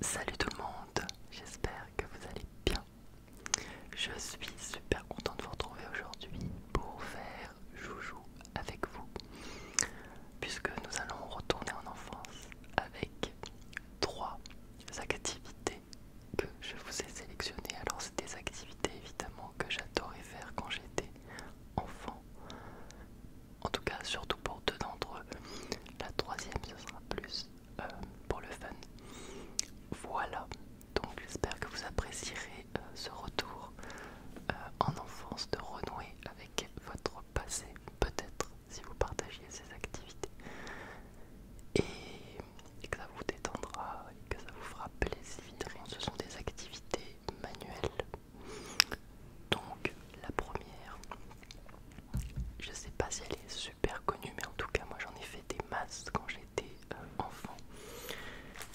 Salut tout le monde, j'espère que vous allez bien. Je suis super contente de vous retrouver aujourd'hui pour faire joujou avec vous, puisque nous allons retourner en enfance avec trois activités que je vous ai sélectionnées. Alors c'est des activités évidemment que j'adorais faire quand j'étais enfant, en tout cas surtout pour deux d'entre eux. La troisième ce sera plus euh, pour le fun. Voilà, donc j'espère que vous apprécierez euh, ce retour euh, en enfance de renouer avec votre passé, peut-être si vous partagiez ces activités. Et, et que ça vous détendra et que ça vous fera plaisir. Ce sont des activités manuelles donc la première, je sais pas si elle est super connue, mais en tout cas moi j'en ai fait des masses quand j'étais euh, enfant.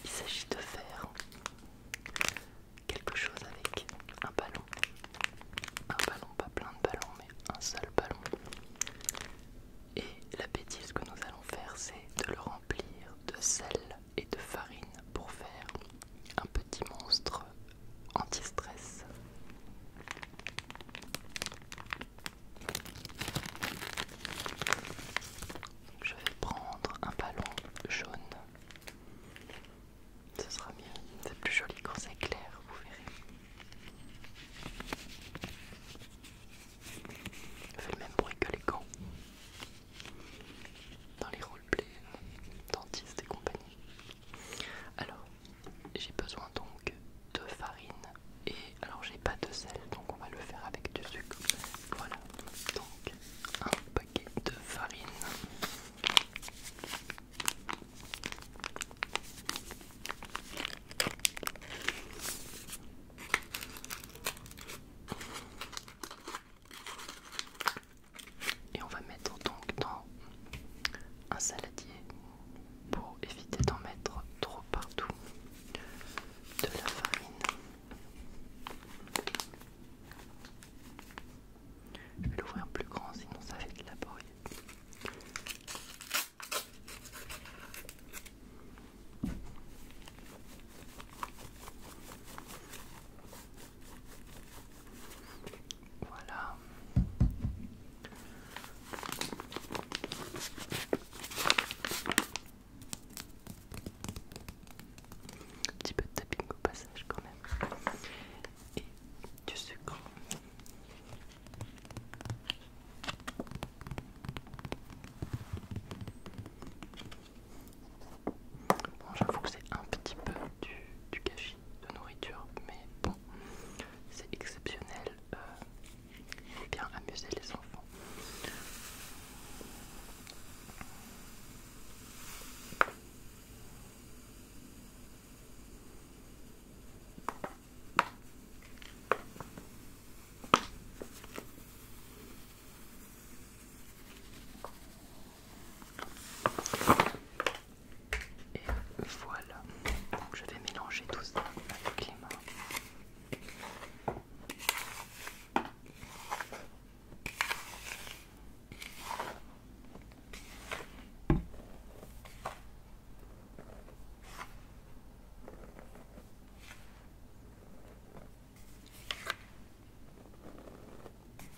Il s'agit de faire quelque chose avec un ballon. Un ballon, pas plein de ballons, mais un seul ballon. Et la bêtise que nous allons faire, c'est de le remplir de sel et de farine pour faire un petit monstre anti-stress. Je vais prendre un ballon jaune. Ce sera mieux, c'est plus joli quand c'est clair, vous verrez. Je fais le même bruit que les gants. Dans les roleplays, dentistes et compagnie. Alors, j'ai besoin donc de farine et alors j'ai pas de sel donc on va le faire avec du sucre. Voilà, donc un paquet de farine. Et on va mettre donc dans un saladier pour éviter d'en mettre trop partout de la farine. Je vais l'ouvrir plus grand sinon ça fait de la voilà. Un petit peu de tapping au passage quand même. Et du sucre. Bon, j'avoue que c'est un petit peu du, du de nourriture, mais bon, c'est exceptionnel. Euh, bien amuser les enfants. Et voilà. je vais mélanger tout ça avec les mains.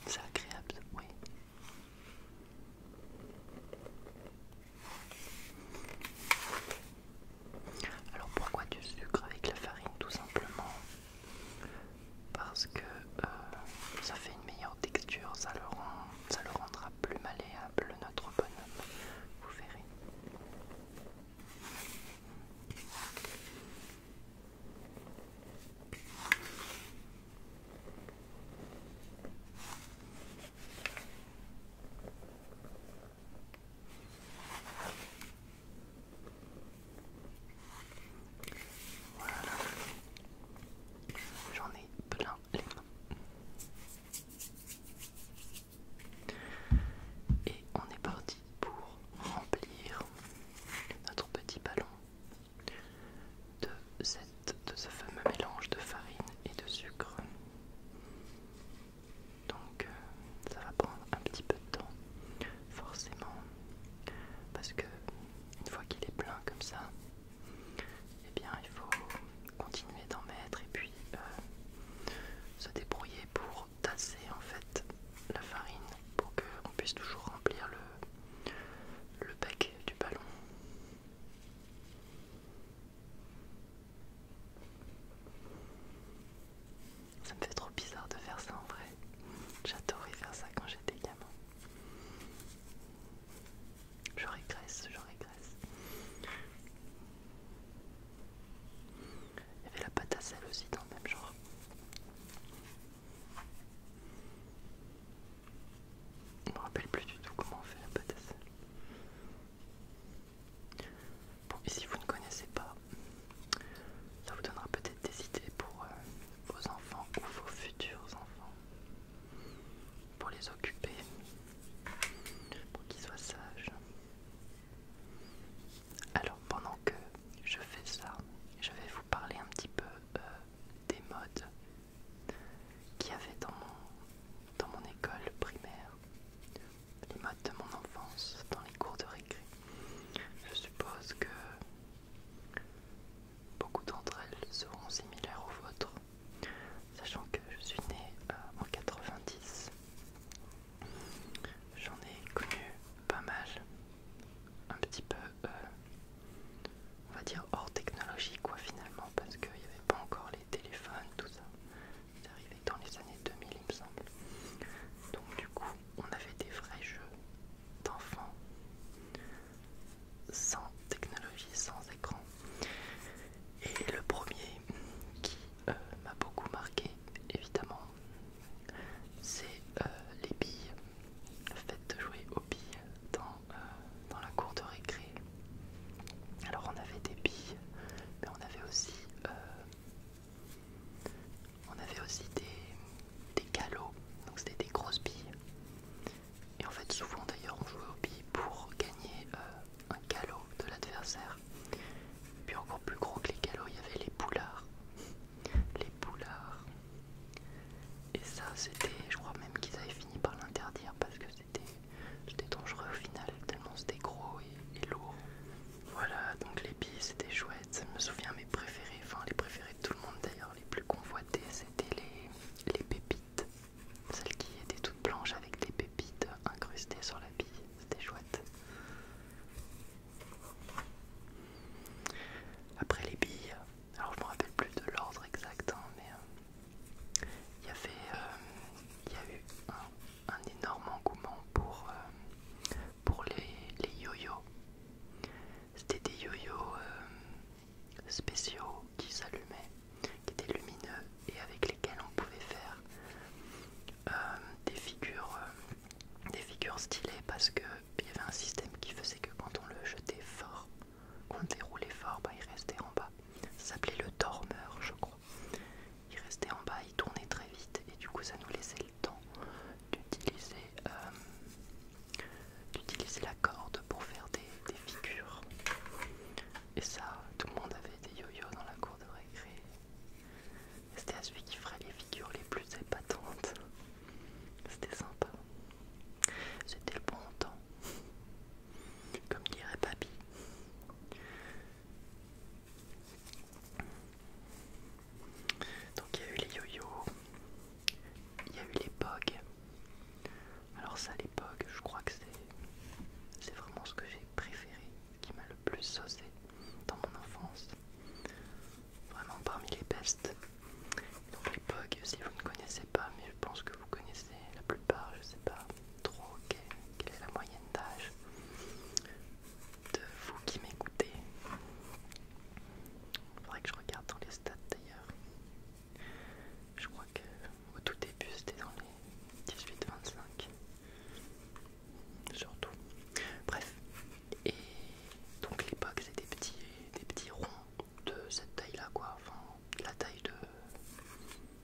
C'est agréable, oui. Alors pourquoi du sucre avec la farine Tout simplement parce que euh, ça fait une meilleure texture, ça ça le rendra plus malléable notre bonhomme, vous verrez. Voilà. J'en ai plein les mains. Et on est parti pour remplir notre petit ballon de, cette, de ce fameux mélange de farine et de sucre. Donc euh, ça va prendre un petit peu de temps, forcément, parce que une fois qu'il est plein comme ça, et eh bien il faut continuer d'en mettre et puis euh, se débrouiller pour tasser en fait la farine pour qu'on puisse toujours remplir le, le du ballon. Ça me fait trop bizarre de faire ça en vrai. J'adorais faire ça quand j'étais gamin. Je régresse, je régresse. Il y avait la pâte à sel aussi dans le même genre. Je me rappelle plus du tout comment on fait la pâte Bon, et si vous ne connaissez pas, ça vous donnera peut-être des idées pour euh, vos enfants ou vos futurs enfants. Pour les occuper, pour qu'ils soient sages. Alors pendant que je fais ça, je vais vous parler un petit peu euh, des modes qui avait dans mon, école primaire, les modes de mon enfance dans les cours de récré. Je suppose que beaucoup d'entre elles seront similaires aux vôtres, sachant que je suis née euh, en 90. J'en ai connu pas mal, un petit peu euh, on va dire hors technologie quoi finalement parce qu'il n'y avait pas encore les téléphones, tout ça. C'est arrivé dans les années 2000 il me semble. Donc du coup on avait des vrais jeux d'enfants sans technologie, sans écran. Et le premier qui euh, m'a beaucoup marqué évidemment c'est euh, les billes, le fait de jouer aux billes euh, dans, la cour de récré. Alors on avait des billes, mais on avait aussi, euh, on avait aussi des, des donc c'était des grosses billes. Et en fait souvent d'ailleurs on jouait aux billes pour gagner euh, un galot de l'adversaire. Puis encore plus gros que les galops, il y avait les poulards. Les poulards, et ça, c'était, je crois même qu'ils avaient fini par l'interdire parce que c'était dangereux au final, tellement c'était gros et, lourd. Voilà, donc les billes c'était chouette. je me souviens mes préférés, enfin les préférés de tout le monde d'ailleurs, les plus convoités, c'était les, les pépites. Celles qui étaient toutes blanches avec des pépites incrustées sur la bille, c'était chouette. Après les billes, alors je me rappelle plus de l'ordre exact, hein, mais euh, il y avait, euh, a eu un, énorme engouement pour euh, les yo yos C'était des yo yos spéciaux qui s'allumaient, qui étaient lumineux et avec lesquels on pouvait faire des figures, stylées parce qu'il y avait un système qui faisait que quand on le jetait fort quand on déroulait fort, il restait en bas. Ça s'appelait le dormeur, je crois. Il restait en bas, il tournait très vite et du coup ça nous laissait le temps d'utiliser euh, la corde pour faire des, figures. Et ça, tout le monde avait des yo-yo dans la cour de récré. C'était à celui qui ferait les figures les plus épatantes. C'était sympa. C'était le bon temps. Comme dirait papy. Donc il y a eu les yo il y a eu les pogs. Alors ça les pogs, je crois que c'est vraiment ce que j'ai préféré, ce qui m'a le plus saucé dans mon enfance. Vraiment parmi les best. Donc les pogs, si vous ne connaissez pas, mais je pense que vous connaissez la plupart, je sais pas trop quelle, est la moyenne d'âge de vous qui m'écoutez. Il Faudrait que je regarde dans les stats d'ailleurs. Je crois que au tout début c'était dans les 18-25. Surtout. Bref. Et donc l'époque c'était des petits, des petits ronds de cette taille là quoi, enfin la taille de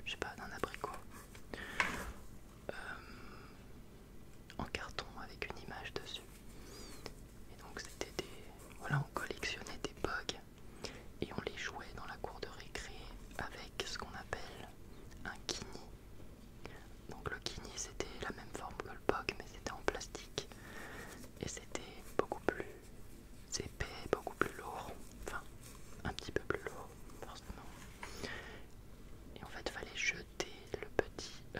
je sais pas d'un abricot euh, en carton avec une image dessus. Et donc c'était des voilà on collectionnait des bugs et on les jouait dans la cour de récré avec ce qu'on appelle un kini. Donc le kini c'était la même forme que le bug mais c'était en plastique et c'était beaucoup plus c'est beaucoup plus lourd, enfin un petit peu plus lourd, forcément. Et en fait, fallait jeter le petit, euh,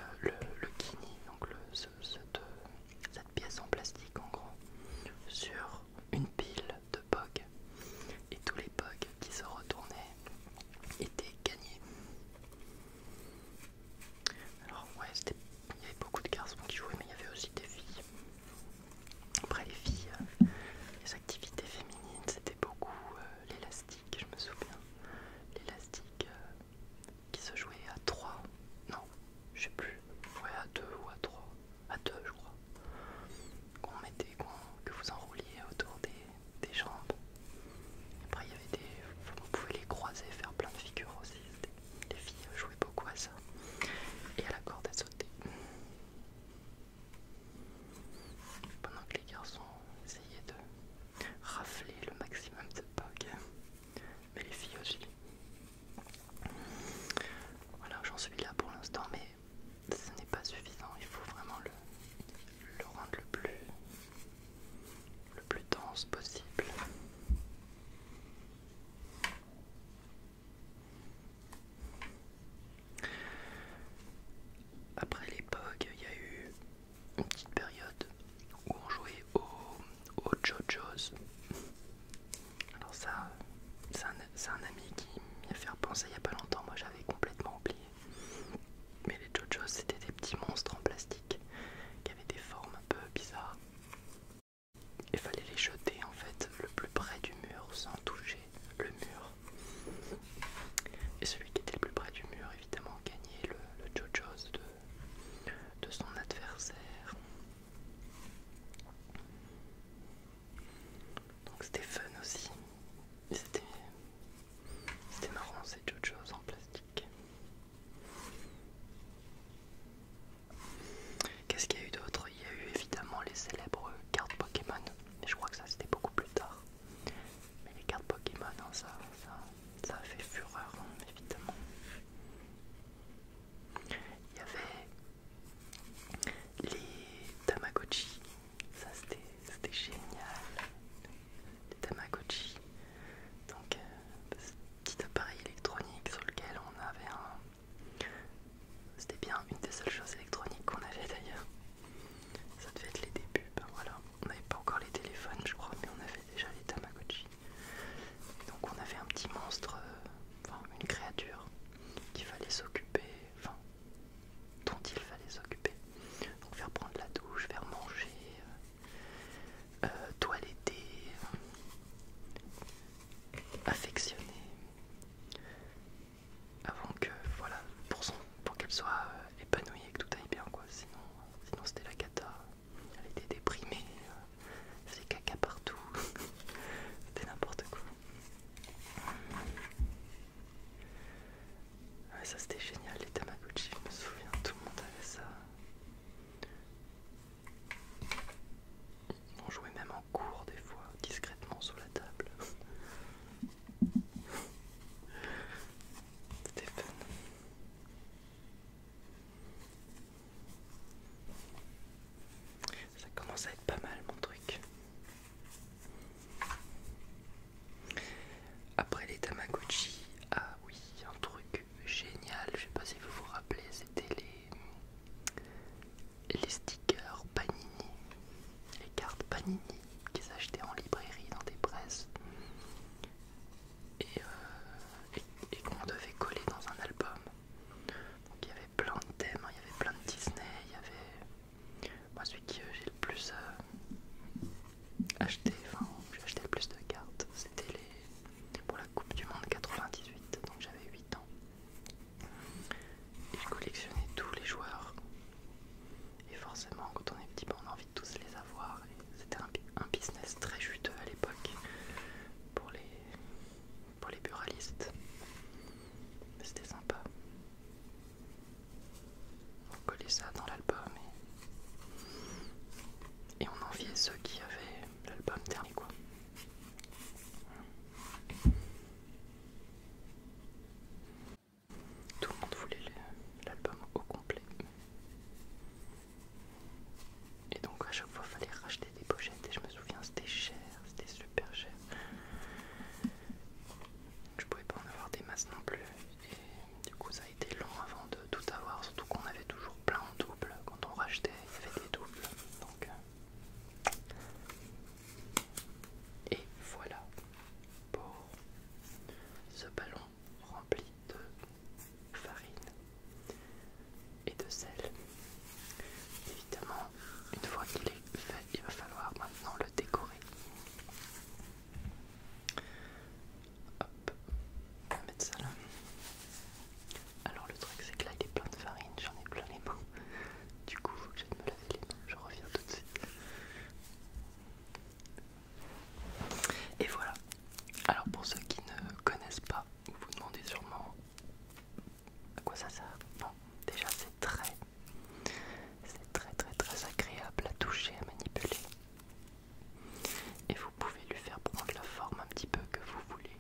le, kini, donc cette, euh, cette pièce en plastique en gros, sur une pile de pogs. Et tous les pogs qui se retournaient étaient gagnés. Alors ouais, il y avait beaucoup de garçons qui jouaient, mais il y avait aussi des filles. Après les filles, euh, les activités féminines, c'était beaucoup euh, l'élastique, je me souviens. L'élastique euh, qui se jouait à 3. Non, je sais plus. Ouais, à 2 ou à 3. À deux, je crois. Qu'on mettait, que vous enrouliez autour des, jambes. Après, il y avait des... vous pouvez les croiser, faire plein de figures aussi. Les filles jouaient beaucoup à ça et à la corde à sauter. Pendant que les garçons essayaient de rafler le maximum de bugs, mais les filles aussi. Voilà, j'en suis là pour l'instant, mais ce n'est pas suffisant. Il faut vraiment le, le rendre le plus, le plus dense possible. Après l'époque, il y a eu une petite période où on jouait aux JoJo's. Alors ça, c'est un, un ami qui m'y a fait repenser il n'y a pas longtemps, moi j'avais complètement oublié. Mais les JoJo's, c'était des petits monstres en plastique qui avaient des formes un peu bizarres. Il fallait les jeter en fait le plus près du mur sans toucher le mur. Et celui qui était le plus près du mur évidemment gagnait le, Jojo's de, de son adversaire. Donc c'était fun aussi. C'était marrant ces Jojo's en plastique. Qu'est-ce qu'il y a eu d'autre Il y a eu évidemment les célèbres cartes Pokémon, mais je crois que ça c'était beaucoup plus tard. Mais les cartes Pokémon, hein, ça, ça, a fait fureur, hein, évidemment. Il y avait les Tamagotchi, ça c'était génial. Les Tamagotchi, donc euh, petit appareil électronique sur lequel on avait un. C'était bien une des seules choses électroniques qu'on avait d'ailleurs. Ça devait être les débuts, ben voilà. On n'avait pas encore les téléphones, je crois, mais on avait déjà les Tamagotchi. donc on avait un petit monstre, euh, enfin une créature qu'il fallait s'occuper, enfin dont il fallait s'occuper. Donc faire prendre la douche, faire manger. Euh, doit euh, l'aider, euh, affectionner, avant que, voilà, pour, pour qu'elle soit euh, épanouie et que tout aille bien, quoi. Sinon, sinon c'était la cata. Elle était déprimée, c'était caca partout, c'était n'importe quoi. ça c'était génial, les Tamaguchi je me souviens, tout le monde avait ça. On jouait même en cours des fois, discrètement sur la table. C'était fun. Ça commence à être pas mal mon truc. Après les Tamagotchi, ah oui, un truc génial, je sais pas si vous vous rappelez, c'était les, les stickers Panini, les cartes Panini qu'ils achetaient en librairie dans des presses euh, et, qu'on devait coller dans un album. Donc il y avait plein de thèmes, hein, il y avait plein de Disney, il y avait... Moi celui que j'ai le plus euh, acheté, enfin j'ai acheté le plus de cartes, c'était les pour la Coupe du Monde 98, donc j'avais 8 ans. Et je collectionnais tous les joueurs. Et forcément, quand on est petit, bah, on a envie de tous les avoir. C'était un, business très juteux à l'époque pour les, pour les buralistes. Mais c'était sympa. On collait ça dans l'album et... et on enviait ceux qui avaient l'album dernier quoi. Tout le monde voulait l'album au complet. Et donc à chaque fois il fallait racheter des pochettes et je me souviens c'était cher, c'était super cher. Je pouvais pas en avoir des masses non plus et du coup ça a été long avant de tout avoir, surtout qu'on avait toujours plein en double. Quand on rachetait, il y avait des doubles. Donc... Euh, et voilà pour ce ballon rempli de farine et de sel. Évidemment, une fois qu'il est fait, il va falloir maintenant le décorer. Hop, on va mettre ça là. Alors le truc c'est que là il est plein de farine, j'en ai plein les mains. Du coup faut que j'aille me laver les mains, je reviens tout de suite. Et voilà. Alors pour ceux qui ne connaissent pas, vous vous demandez sûrement à quoi ça sert. Bon, déjà c'est très c'est très très très agréable à toucher, à manipuler. Et vous pouvez lui faire prendre la forme un petit peu que vous voulez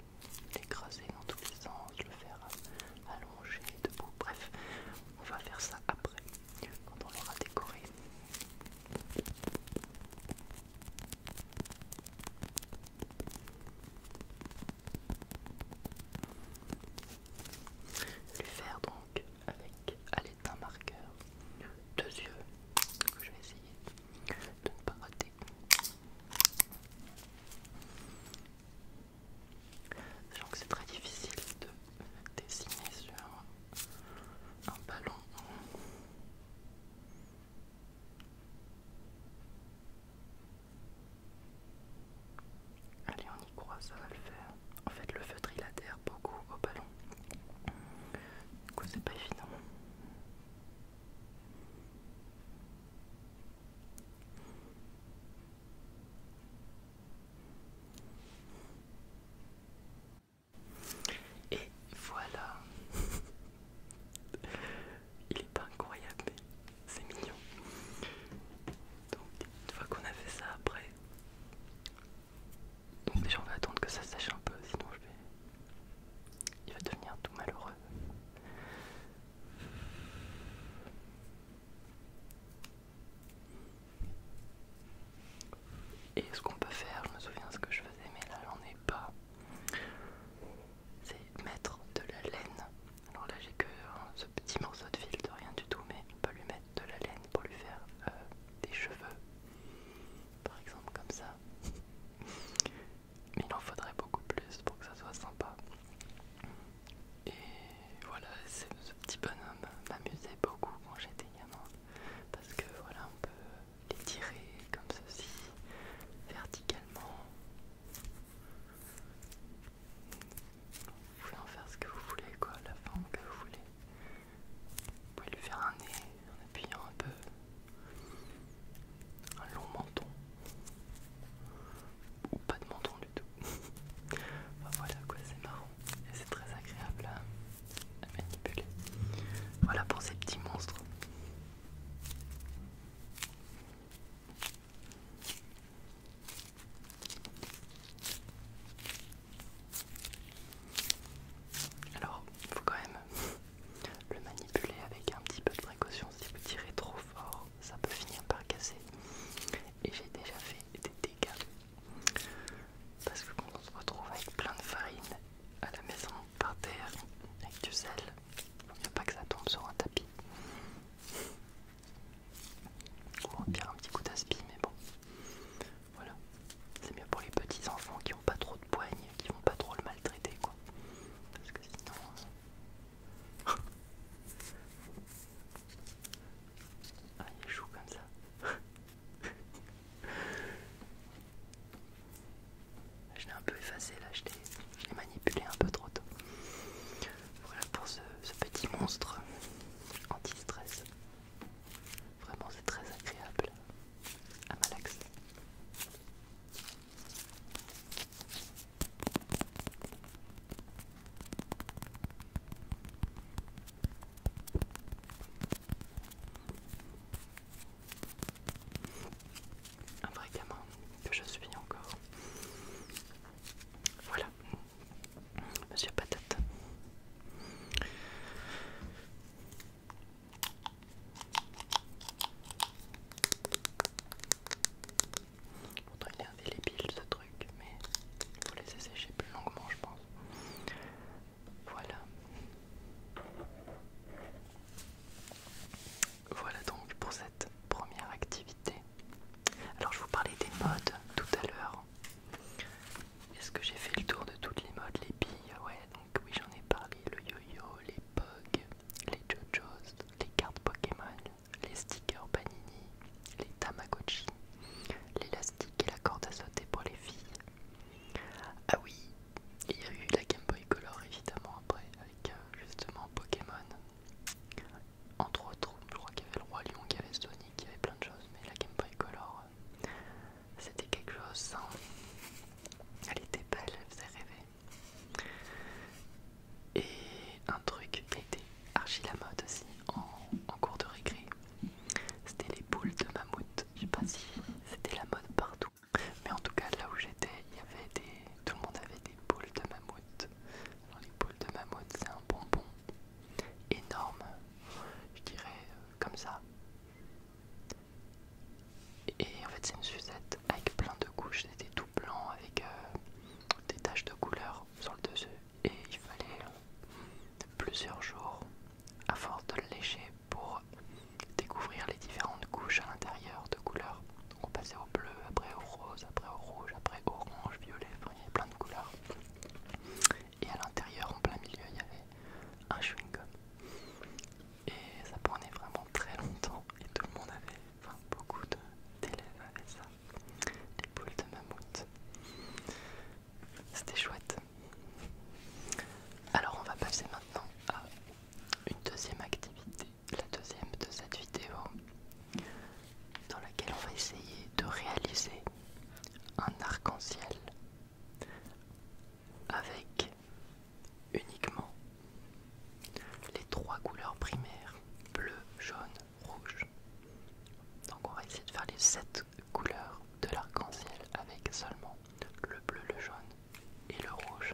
l'écraser dans tous les sens, le faire allonger debout. Bref, on va faire ça après, quand on l'aura décoré. Lui faire donc avec à un marqueur deux yeux que je vais essayer de ne pas rater. Donc que c'est très difficile de dessiner sur un ballon. Allez, on y croit, ça va le faire. En fait, le feutre il adhère beaucoup au ballon. Du coup, c'est pas évident. Et voilà. Il est pas incroyable, mais c'est mignon. Donc une fois qu'on a fait ça après. Donc déjà on va attendre que ça sèche un peu, sinon je vais il va devenir tout malheureux. Et ce qu'on peut faire, je me souviens ce que je faisais, mais là j'en ai pas. C'est mettre de la laine. Alors là j'ai que hein, ce petit morceau de fil de rien du tout, mais on peut lui mettre de la laine pour lui faire euh, des cheveux. Par exemple comme ça mais il en faudrait beaucoup plus pour que ça soit sympa. Et voilà, ce petit bonhomme m'amusait beaucoup quand j'étais gamin, parce que voilà, on peut les tirer comme ceci, verticalement. Vous pouvez en faire ce que vous voulez, quoi, la forme que vous voulez. Vous pouvez lui faire un nez, en appuyant un peu. Un long menton. Ou pas de menton du tout. voilà quoi, c'est marrant. Et c'est très agréable à, manipuler. Voilà pour ces petits monstres. Alors, faut quand même le manipuler avec un petit peu de précaution, si vous tirez trop fort, ça peut finir par casser. Et j'ai déjà fait des dégâts. Parce que quand on se retrouve avec plein de farine à la maison, par terre, avec du sel, il ne pas que ça tombe sur un tapis. Ou on pire un petit coup d'aspi, mais bon. Voilà. C'est mieux pour les petits enfants qui n'ont pas trop de poigne, qui vont pas trop le maltraiter. Parce que sinon... ah, il est comme ça. Je l'ai un peu effacé là, je l'ai manipulé un peu trop tôt. Voilà pour ce, ce petit monstre anti-stress. Vraiment c'est très agréable à malaxer. Un vrai gamin que je suis encore. Voilà, Monsieur Patate. Pourtant il les piles ce truc, mais il faut laisser sécher plus longuement je pense. Voilà. Voilà donc pour cette première activité. Alors je vous parlais des modes tout à l'heure. Est-ce que j'ai fait le tour de toutes les modes Les billes, ouais, donc oui j'en ai parlé, le yo-yo, les pogs les JoJo's, les cartes Pokémon, les stickers Panini, les Tamagotchi, l'élastique et la corde à sauter pour les filles. Ah oui, il y a eu la Game Boy Color évidemment après, avec euh, justement Pokémon. Entre autres, je crois qu'il y avait le Roi Lion, qu'il y avait Sonic, il y avait plein de choses, mais la Game Boy Color, euh, c'était quelque chose. Hein. Elle était belle, elle faisait rêver. Et un truc qui était archi la mode aussi en, cours de récré, c'était les boules de mammouth. Je sais pas si c'était la mode partout, mais en tout cas là où j'étais, il y avait des, tout le monde avait des boules de mammouth. Alors les boules de mammouth, c'est un bonbon énorme, je dirais euh, comme ça, et en fait, c'est une Suzette avec plein de couches, c'était tout blanc avec euh, des taches de couleur sur le dessus. Et il fallait euh, plusieurs jours à force de le lécher pour découvrir les différentes couches à l'intérieur de couleurs. Donc on passait au bleu, après au rose, après au rouge, après orange, violet, enfin, il y avait plein de couleurs. Et à l'intérieur, en plein milieu, il y avait un chewing-gum. Et ça prenait vraiment très longtemps et tout le monde avait, enfin beaucoup d'élèves avaient ça, les boules de mammouth. C'était chouette. Alors on va passer maintenant à une deuxième activité, la deuxième de cette vidéo, dans laquelle on va essayer de réaliser un arc-en-ciel avec uniquement les trois couleurs primaires, bleu, jaune, rouge. Donc on va essayer de faire les sept couleurs de l'arc-en-ciel avec seulement le bleu, le jaune et le rouge.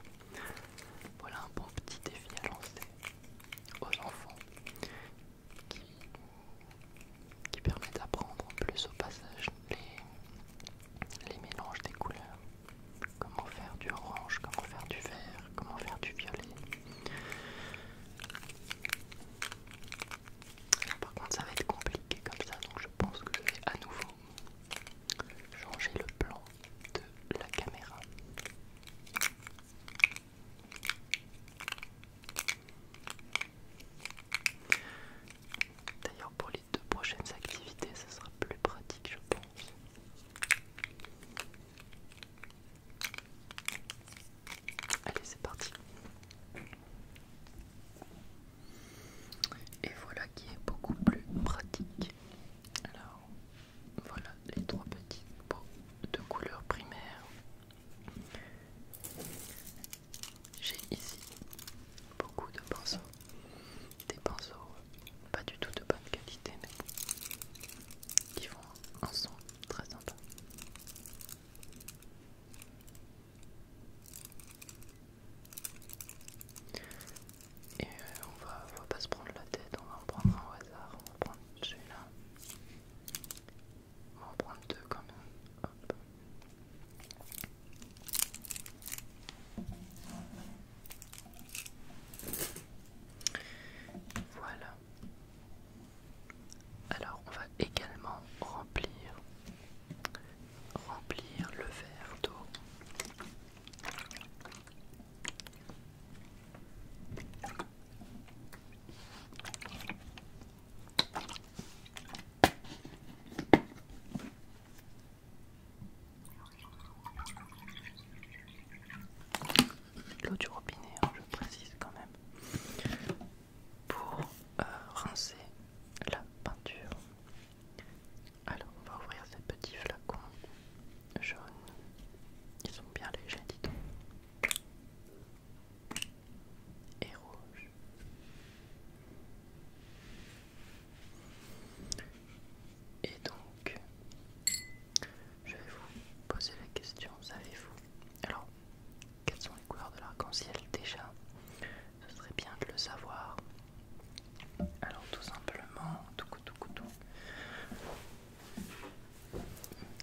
Voilà un bon petit défi à lancer aux enfants qui, permet d'apprendre plus au passage les, les mélanges des couleurs, comment faire du orange, comment faire du vert, comment faire du violet. par contre ça va être compliqué comme ça, donc je pense que je vais à nouveau changer le plan de la caméra. D'ailleurs pour de prochaines activités, ce sera plus pratique, je pense. Allez, c'est parti. Et voilà qui est beaucoup plus pratique. Alors, voilà les trois petits pots de couleurs primaire. J'ai ici beaucoup de pinceaux, des pinceaux pas du tout de bonne qualité, mais qui font un son très sympa. Et euh, on va, pas se prendre la tête, on va en prendre un au hasard, on va prendre celui-là. On va en prendre deux quand même. Voilà. Alors on va également remplir remplir le verre d'eau. L'eau du robinet, hein, je précise quand même. Pour euh, rincer la peinture. Alors, on va ouvrir ces petits flacons jaunes. qui sont bien légers, dis donc. Et rouge. Et donc, je vais vous poser la question, savez-vous Alors, quelles sont les couleurs de l'arc-en-ciel déjà Ce serait bien de le savoir. Alors tout simplement, tout tout tout.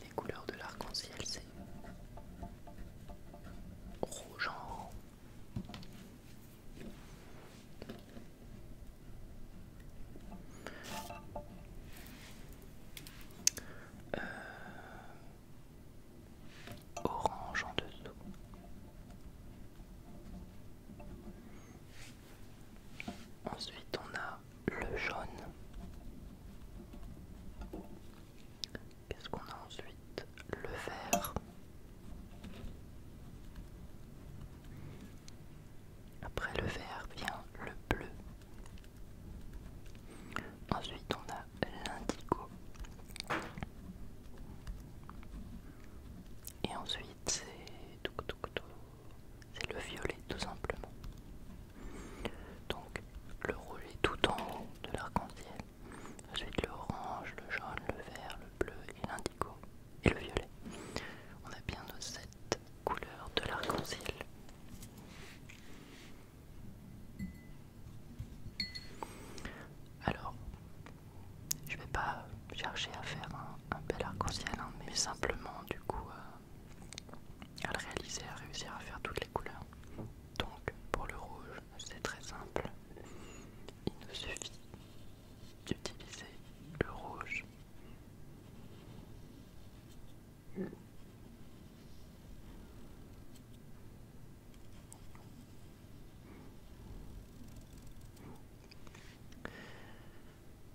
Les couleurs de l'arc-en-ciel, c'est rouge en haut, euh, orange en dessous. Ensuite, on a le jaune. Qu'est-ce qu'on a ensuite Le vert. Après le vert vient le bleu. Ensuite on a l'indigo. Et ensuite c'est C'est le violet tout simplement. Donc le rouge est tout en haut de l'arc-en-ciel. Ensuite l'orange, le jaune, le vert, le bleu et et le violet. On a bien nos cette couleurs de l'arc-en-ciel. Alors, je vais pas chercher à faire un, bel arc-en-ciel, hein, mais simplement du coup euh, à le réaliser, à réussir à faire toutes les couleurs. Donc pour le rouge, c'est très simple. Il nous suffit d'utiliser le rouge.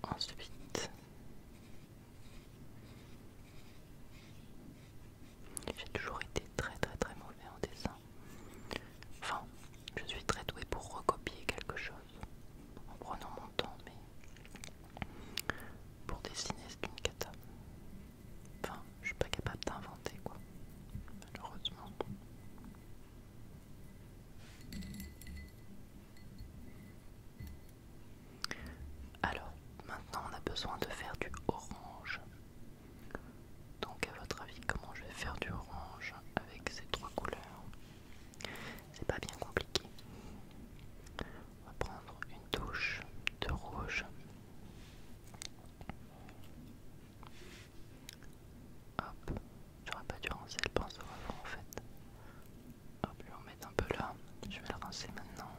Ensuite, j'ai toujours été très très très mauvais en dessin. Enfin, je suis très douée pour recopier quelque chose en prenant mon temps, mais pour dessiner, c'est une cata. Enfin, je suis pas capable d'inventer, quoi, malheureusement. Alors, maintenant on a besoin de faire du orange. Donc à votre avis, comment je vais faire du orange avec ces trois couleurs c'est pas bien compliqué. On va prendre une touche de rouge. Hop, j'aurais pas dû rincer le pinceau avant en fait. Hop, je vais mettre un peu là. Je vais le rincer maintenant.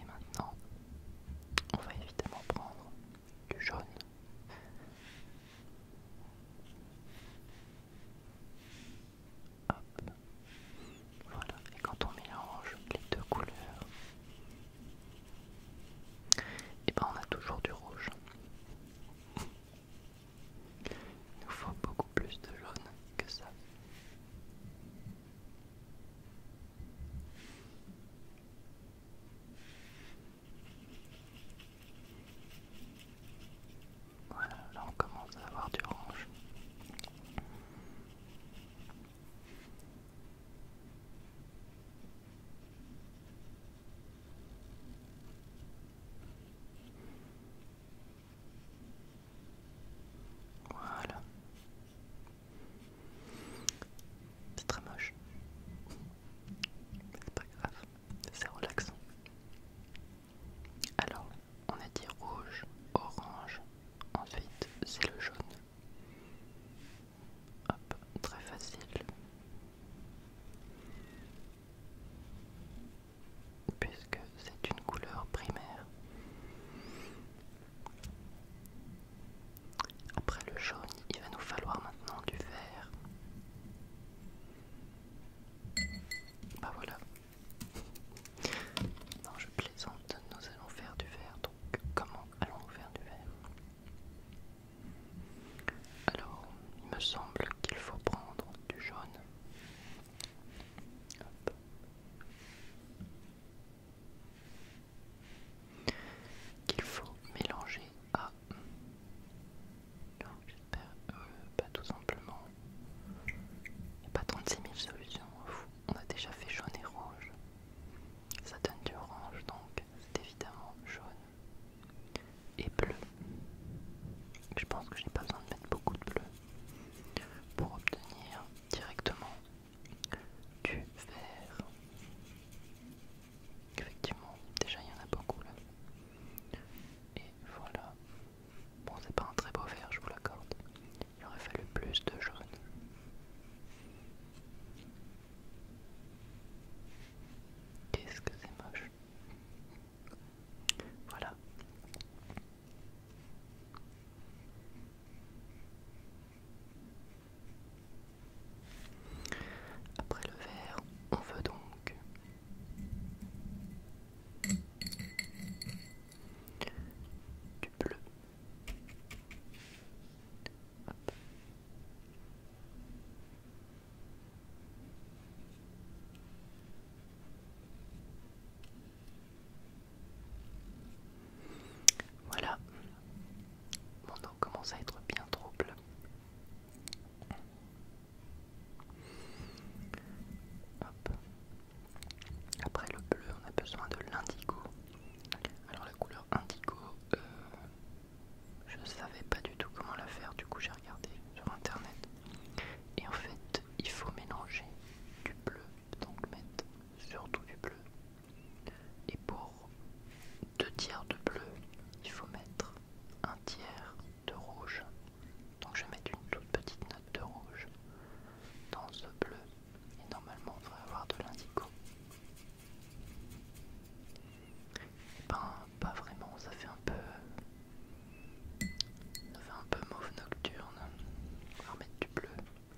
Et maintenant, on va évidemment prendre du jaune. Voilà, et quand on mélange les deux couleurs, et eh ben on a toujours du rouge. Il nous faut beaucoup plus de jaune que ça. Voilà, là on commence à avoir du orange. Voilà. C'est très moche. Mais c'est pas grave c'est relaxant. Alors, on a dit rouge, orange, ensuite c'est le jaune. Hop, très facile. Puisque c'est une couleur primaire. Après le jaune, il va nous falloir maintenant du vert. Bah voilà. Non, je plaisante, nous allons faire du vert, Donc, comment allons-nous faire du vert Alors, il me semble qu'il faut prendre du jaune. Qu'il faut mélanger ah j'espère euh, pas tout simplement. Il n'y a pas 36 000 solutions. Hein, On a déjà fait jaune et rouge. Ça donne du orange donc c'est évidemment jaune et bleu. Je pense que n'ai pas besoin de mettre beaucoup de bleu pour obtenir directement du vert. Effectivement, déjà il y en a beaucoup là. Et voilà. Bon, c'est pas un très beau vert, je vous l'accorde. Il aurait fallu plus de jaune. Qu'est-ce que c'est moche. Voilà. Après le vert, on veut donc du bleu. Voilà, mon dos commence à être bien trouble. Après le bleu, on a besoin de l'indigo. Alors la couleur indigo, je euh, je savais pas du tout comment la faire, du coup j'ai regardé sur internet. Et en fait, il faut mélanger du bleu, donc mettre surtout du bleu. Et pour deux tiers de bleu, il faut mettre un de rouge. Donc je vais mettre une toute petite note de rouge dans ce bleu. Et normalement on devrait avoir de l'indigo. Eh ben pas vraiment, ça fait un peu. Ça fait un peu mauve nocturne. On va mettre du bleu.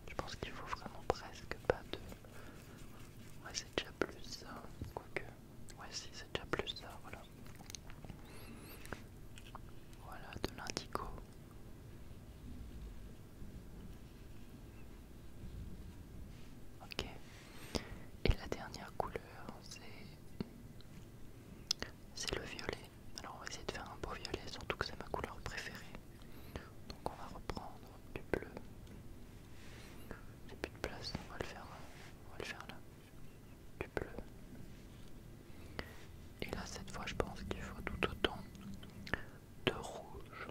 Je pense qu'il faut vraiment presque pas de. Ouais c'est déjà plus ça, hein, Ouais, si, c'est déjà plus ça, voilà. Voilà, de l'indigo. Ok. Et la dernière couleur, c'est... C'est le violet. Alors on va essayer de faire un beau violet, surtout que c'est ma couleur préférée. Donc on va reprendre du bleu. J'ai plus de place, on va le faire euh, on va le faire là. Du bleu. Et là, cette fois, je pense qu'il faut tout autant de rouge.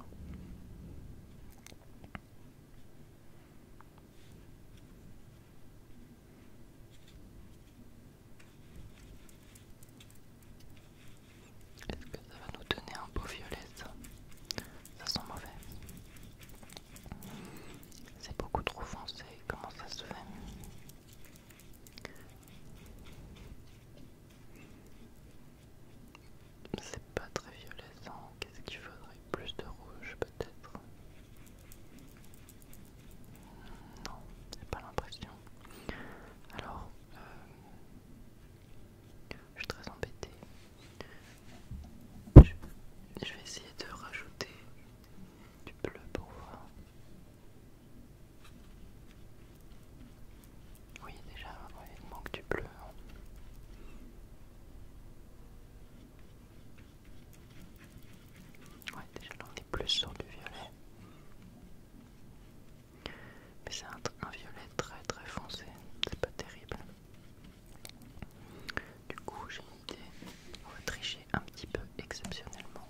Est-ce que ça va nous donner un beau violet ça, ça sent mauvais. C'est beaucoup trop foncé, comment ça se fait C'est pas très ça. qu'est-ce qu'il faudrait Plus de rouge peut-être Non, j'ai pas l'impression. Alors, euh, je suis très embêtée. Je, vais essayer de rajouter du bleu pour voir. Oui, déjà, il manque du bleu. Hein. Ouais, déjà là on est plus sur du violet. Mais c'est un violet très très foncé, c'est pas terrible. Du coup, j'ai une idée. On va tricher un petit peu exceptionnellement.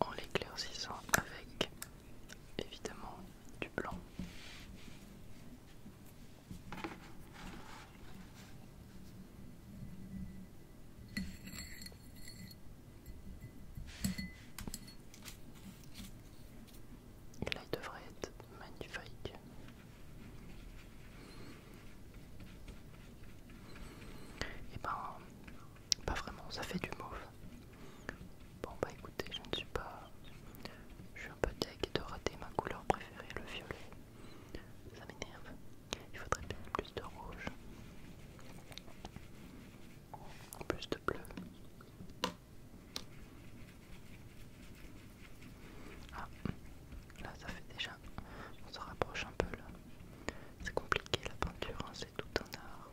En l'éclaircissant avec évidemment du blanc. là, il devrait être magnifique. Et eh ben, pas vraiment, ça fait du mauve. Bon bah écoutez, je ne suis pas... Je suis un peu deg de rater ma couleur préférée, le violet. Ça m'énerve. Il faudrait bien plus de rouge. Plus de bleu. Ah, là ça fait déjà... On se rapproche un peu là. C'est compliqué la peinture, hein, c'est tout un art.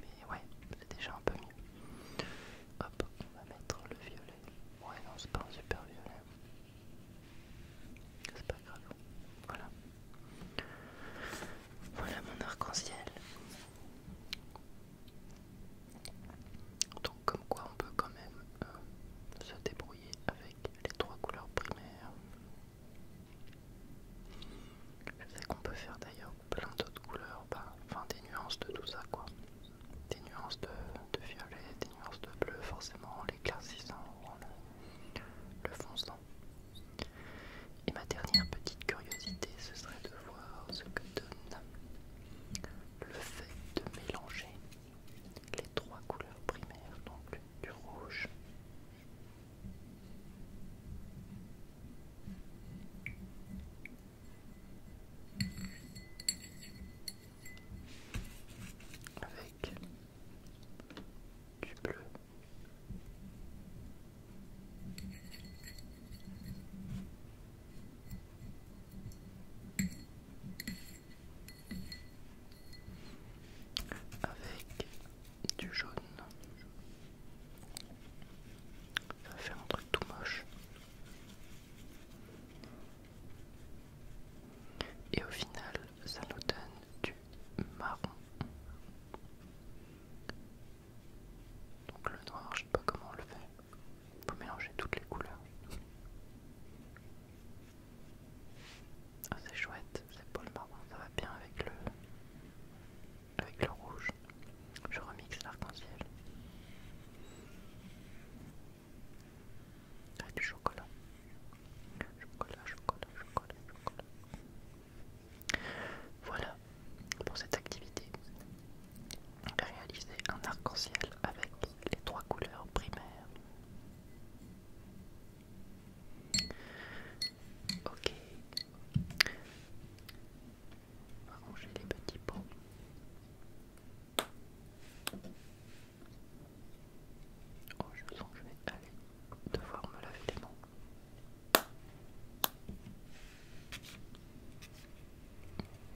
Mais ouais, c'est déjà un peu mieux. Hop, on va mettre le violet. Ouais, non, c'est pas un super violet. C'est pas grave. Voilà. Voilà mon arc-en-ciel. Donc comme quoi on peut quand même euh, se débrouiller avec les trois couleurs primaires. qu'on peut faire d'ailleurs plein d'autres couleurs, bah, enfin des nuances de tout ça quoi. Des nuances de, violet, des nuances de bleu forcément en l'éclaircissant en le, le fonçant. Et ma dernière petite curiosité, ce serait de voir ce que donne le fait de mélanger les trois couleurs primaires, donc du rouge, avec du bleu. Avec du jaune. Ça va faire un truc tout moche. Et au final, ça nous donne du marron. Donc le noir, je sais pas comment on le fait. Faut mélanger toutes les couleurs. Ah, c'est chouette, c'est pas le marron, ça va bien avec le avec le rouge. Je remixe l'arc-en-ciel. Avec du chocolat. Chocolat, chocolat, chocolat, chocolat. Voilà pour cette activité. Réaliser un arc-en-ciel avec les trois couleurs primaires. Ok j'ai les petits pots. Oh, je sens que je vais aller devoir me laver les mains.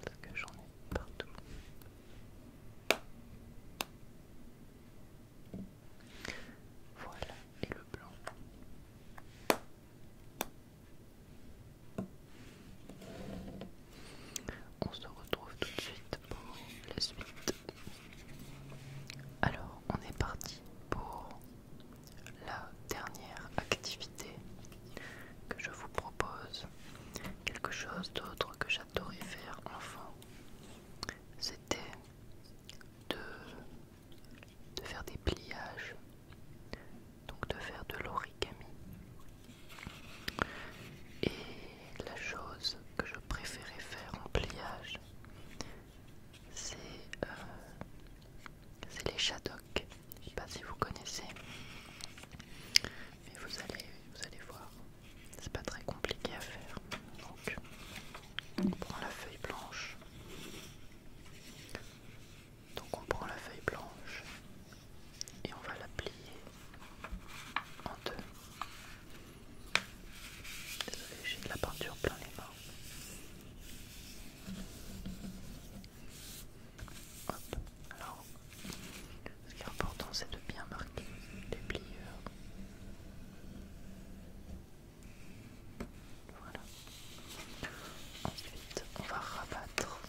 Parce que j'en ai partout. Voilà, et le blanc. On se retrouve tout de suite pour la suite. Alors, on est parti pour la dernière activité que je vous propose. Quelque chose d'autre que j'adorais faire enfant. C'était de de faire des pliages, donc de faire de l'origami. Et la chose que je préférais faire en pliage, c'est euh, c'est les shadocks. Je sais pas si vous connaissez, mais vous allez, vous allez voir, c'est pas très compliqué à faire. Donc, on prend la feuille blanche, donc on prend la feuille blanche et on va la plier en deux. Désolé, j'ai de la peinture plein les mains. alors ce qui est important c'est de bien marquer les pliures. Voilà. Ensuite, on va rabattre.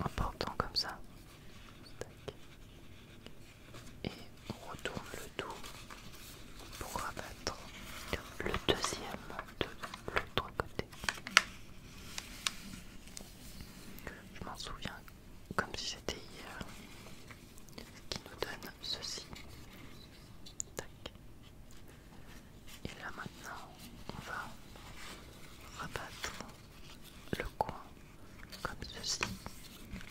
En portant comme ça. Et on retourne le tout pour rabattre le deuxième de l'autre côté. Je m'en souviens comme si c'était hier. Qui nous donne ceci. Tac. Et là maintenant, on va rabattre le coin comme ceci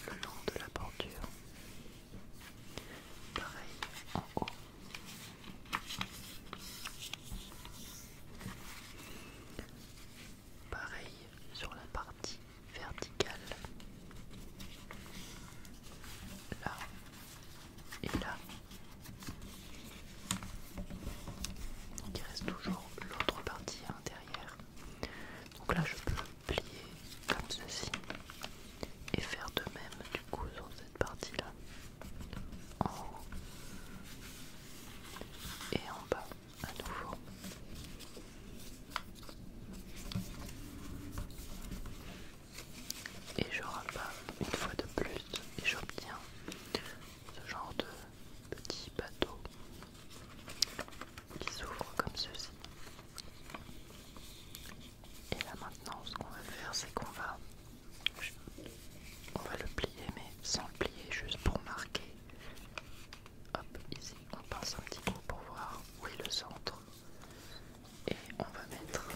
le long de la bordure. Pareil en haut. Pareil sur la partie verticale. Là et là. il reste toujours l'autre partie intérieure. Donc là je peux plier comme ceci et faire de même du coup sur cette partie là en et en bas à nouveau. Et je rabats une fois de plus et j'obtiens ce genre de petit bateau qui s'ouvre comme ceci. Et là maintenant ce qu'on va faire c'est qu'on va on va le plier mais sans le plier juste pour marquer hop ici on passe un petit coup pour voir où est le centre et on va mettre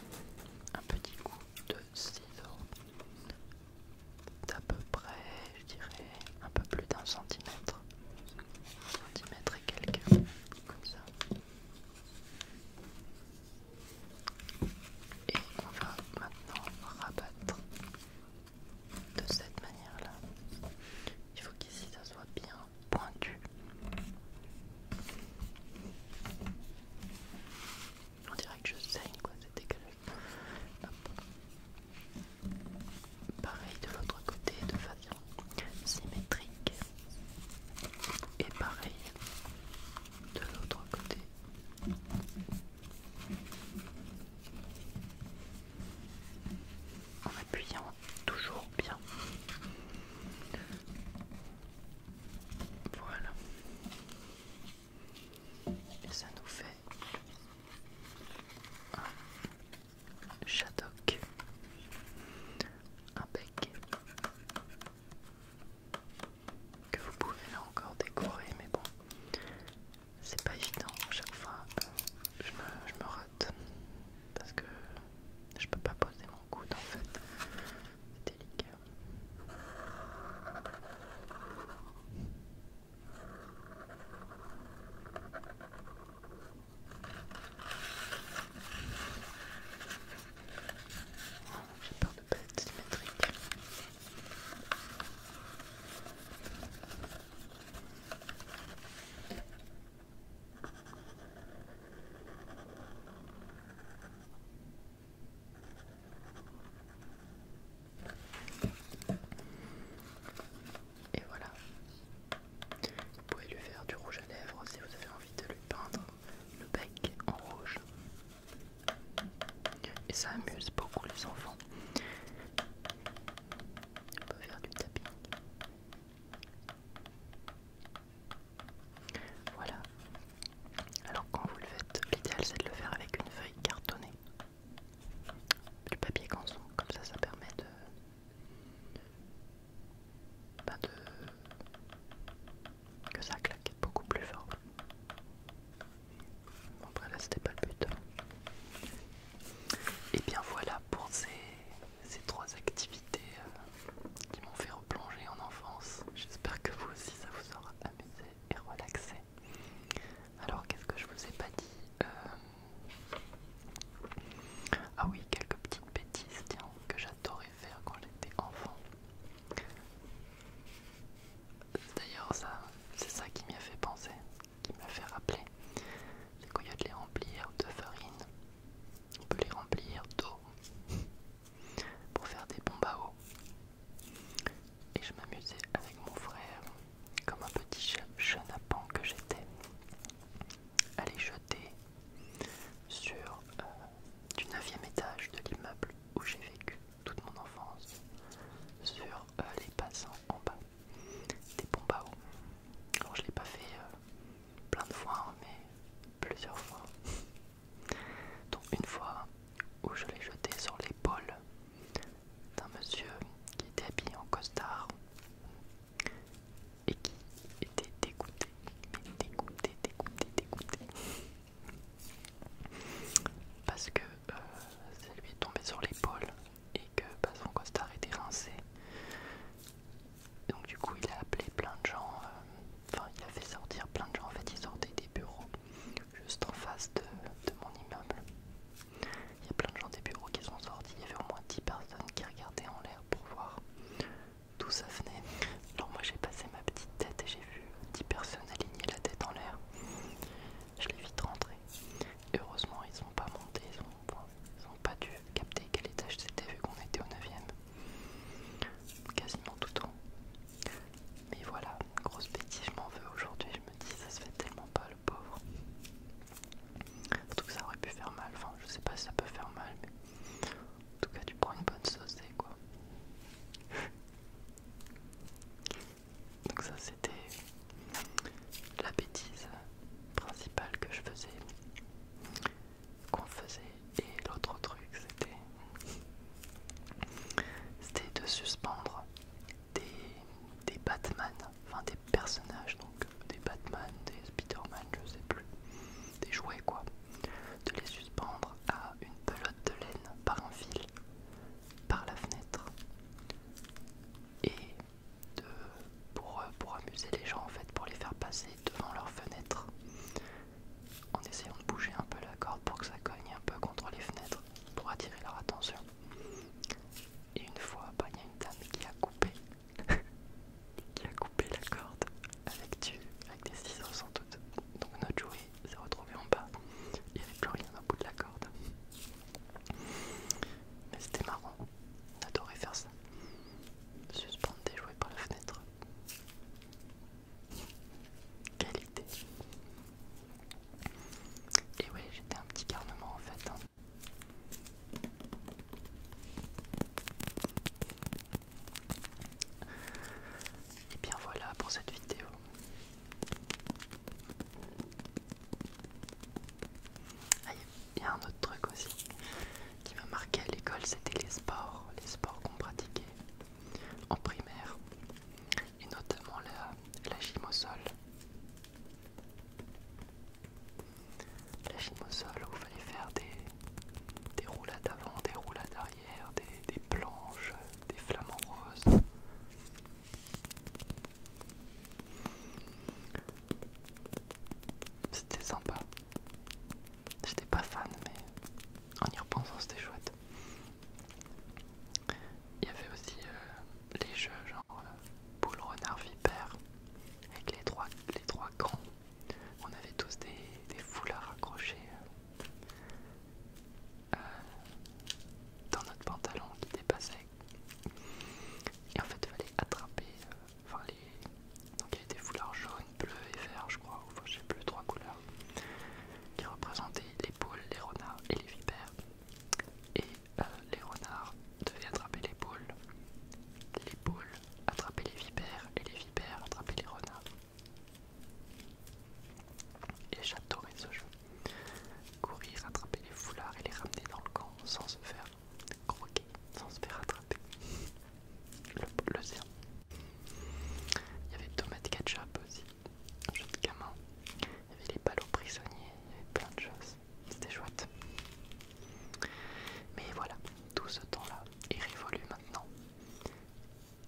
un petit coup de ciseau d'à peu près je dirais un peu plus d'un centimètre centimètre et quelques comme ça et on va maintenant rabattre de cette manière-là. Il faut qu'ici ça soit bien pointu. On dirait que je saigne quoi, c'est dégueulasse. Pareil de l'autre côté de façon symétrique. Et pareil de l'autre côté en appuyant toujours bien. Voilà. Et ça nous fait un un bec que vous pouvez là encore décorer, mais bon, c'est pas évident. À chaque fois, je me, je me rate parce que je peux pas poser mon coude en fait. C'est délicat. J'ai peur de pas être symétrique. Et voilà. Vous pouvez lui faire du rouge à lèvres si vous avez envie de lui peindre le bec en rouge. Et ça amuse beaucoup les enfants. On peut faire du tapping. Voilà. Alors quand vous le faites, l'idéal c'est de le faire avec une feuille cartonnée. Du papier canson, comme ça ça permet de... Ben, de... que ça claque beaucoup plus fort. Bon, après là, c'était pas le but. Hein. Et bien voilà pour ces, trois activités euh, qui m'ont fait replonger en enfance. J'espère que vous aussi ça vous aura amusé et relaxé. Alors qu'est-ce que je vous ai pas dit euh, Ah oui, quelques petites bêtises tiens, que j'adorais faire quand j'étais enfant. D'ailleurs, ça, c'est ça qui m'a fait penser, qui m'a fait rappeler. C'est y a de les remplir de farine, on peut les remplir d'eau pour faire des bombes à eau. Et je m'amusais avec mon frère, comme un petit chenapan que j'étais, à les jeter sur euh, du 9 étage de l'immeuble où j'ai vécu toute mon enfance sur euh, les passants en bas des pompes à Alors je l'ai pas fait euh, plein de fois, hein, mais plusieurs fois. Donc une fois où je l'ai jeté sur l'épaule d'un monsieur qui était habillé en costard et qui était dégoûté, dégoûté, dégoûté, dégoûté. Parce que euh, c'est lui est tombé sur l'épaule et que bah, son costard était rincé. Donc du coup il a appelé plein de gens, euh, enfin il a fait sortir plein de gens, en fait ils sortaient des bureaux juste en face de, de mon immeuble. Il y a plein de gens des bureaux qui sont sortis, il y avait au moins 10 personnes qui regardaient en l'air pour voir d'où ça venait. Alors moi j'ai passé ma petite tête et j'ai vu 10 personnes aligner la tête en l'air. Je l'ai vite rentré. Heureusement, ils n'ont pas monté, ils ont, pas dû capter quel étage c'était vu qu'on était au 9 Quasiment tout temps. Mais voilà, grosse bêtise, je m'en veux aujourd'hui. Je me dis, ça se fait tellement pas le pauvre. Surtout que ça aurait pu faire mal. Enfin, je sais pas si ça peut faire mal, mais en tout cas, tu prends une bonne sauce, quoi. Donc ça c'était la bêtise principale que je faisais, qu'on faisait. Et l'autre truc c'était de suspendre des, des Batman, enfin des personnages donc des Batman, des spiderman, je je sais plus, des jouets quoi, de les suspendre à une pelote de laine par un fil par la fenêtre et de, euh, pour, amuser les gens en fait, pour les faire passer devant leur fenêtre en essayant de bouger un peu la corde pour que ça cogne un peu contre les fenêtres pour attirer leur attention. Et une fois, bah, il y a une dame qui a coupé, qui a coupé la corde avec, du, avec des ciseaux sans doute. Donc notre jouet s'est retrouvé en bas. Il n'y avait plus rien au bout de la corde. Mais c'était marrant. On adorait faire ça. Suspendre des jouets par la fenêtre. Qualité. Et ouais, j'étais un petit carnement en fait. Hein. Et bien voilà pour cette vidéo il ah, y a un autre truc aussi qui m'a marqué à l'école, c'était les sports, les sports qu'on pratiquait en primaire, et notamment la, gym au sol. La gym au sol où il fallait faire des, des roulades avant, des roulades arrière, des, des planches, des flamants roses. C'était sympa. J'étais pas fan, mais en y repensant, c'était chouette. Il y avait aussi euh, les jeux genre boule euh, renard vipère avec les trois, les trois grands. On avait tous des, foulards accrochés euh, euh, dans notre pantalon qui dépassait. Et en fait, il fallait attraper. Euh, les... Donc, il y des foulards jaunes, bleus et vert je crois, ou je sais plus, trois couleurs, qui représentaient les poules, les renards et les vipères. Et euh, les renards devaient attraper les poules, les poules attraper les vipères, et les vipères attraper les renards. Et j'adorais ce jeu. Courir, attraper les foulards et les ramener dans le camp sans se faire croquer, sans se faire attraper. Le, sien. Il y avait Tomate Ketchup aussi, jeu de gamin. Il y avait les ballots prisonniers, il y avait plein de choses. C'était chouette. Mais voilà, tout ce temps-là est révolu maintenant.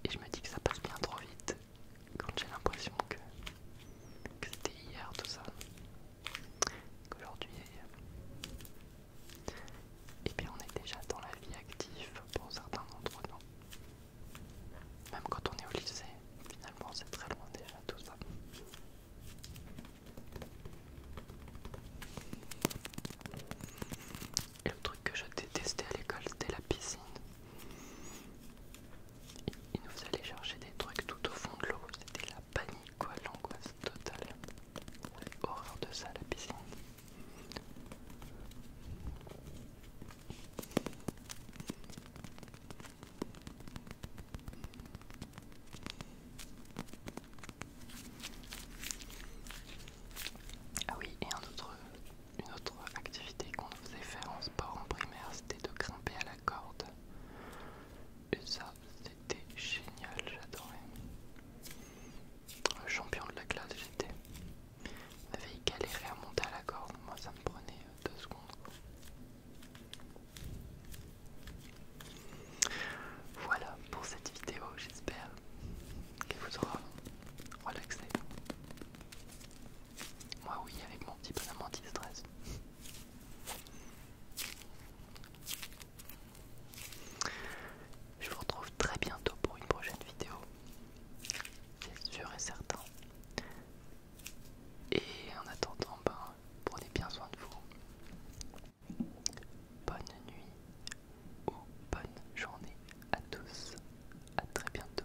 Et je me dis que ça passe bien trop vite quand j'ai l'impression que, c'était hier tout ça, qu'aujourd'hui, et eh bien on est déjà dans la vie active pour certains d'entre nous. Même quand on est au lycée, finalement c'est très loin déjà tout ça. Et le truc que je détestais à l'école, c'était la piscine il nous allait chercher des trucs tout au fond de l'eau. C'était la panique, quoi, l'angoisse totale. Horreur de ça, la piscine. Ah oui, et un autre, une autre activité qu'on faisait faire en sport en primaire, c'était de grimper à la corde. Et ça, c'était génial, j'adorais. Le champion de la classe, j'étais. J'avais galéré à monter à la corde, moi ça me prenait euh, deux secondes. Voilà pour cette vidéo, j'espère qu'elle vous aura relaxé. Moi oui, avec mon petit bonhomme anti-stress. Je vous retrouve très bientôt pour une prochaine vidéo. C'est sûr et certain. Et en attendant, ben, prenez bien soin de vous. Bonne nuit ou bonne journée à tous. À très bientôt.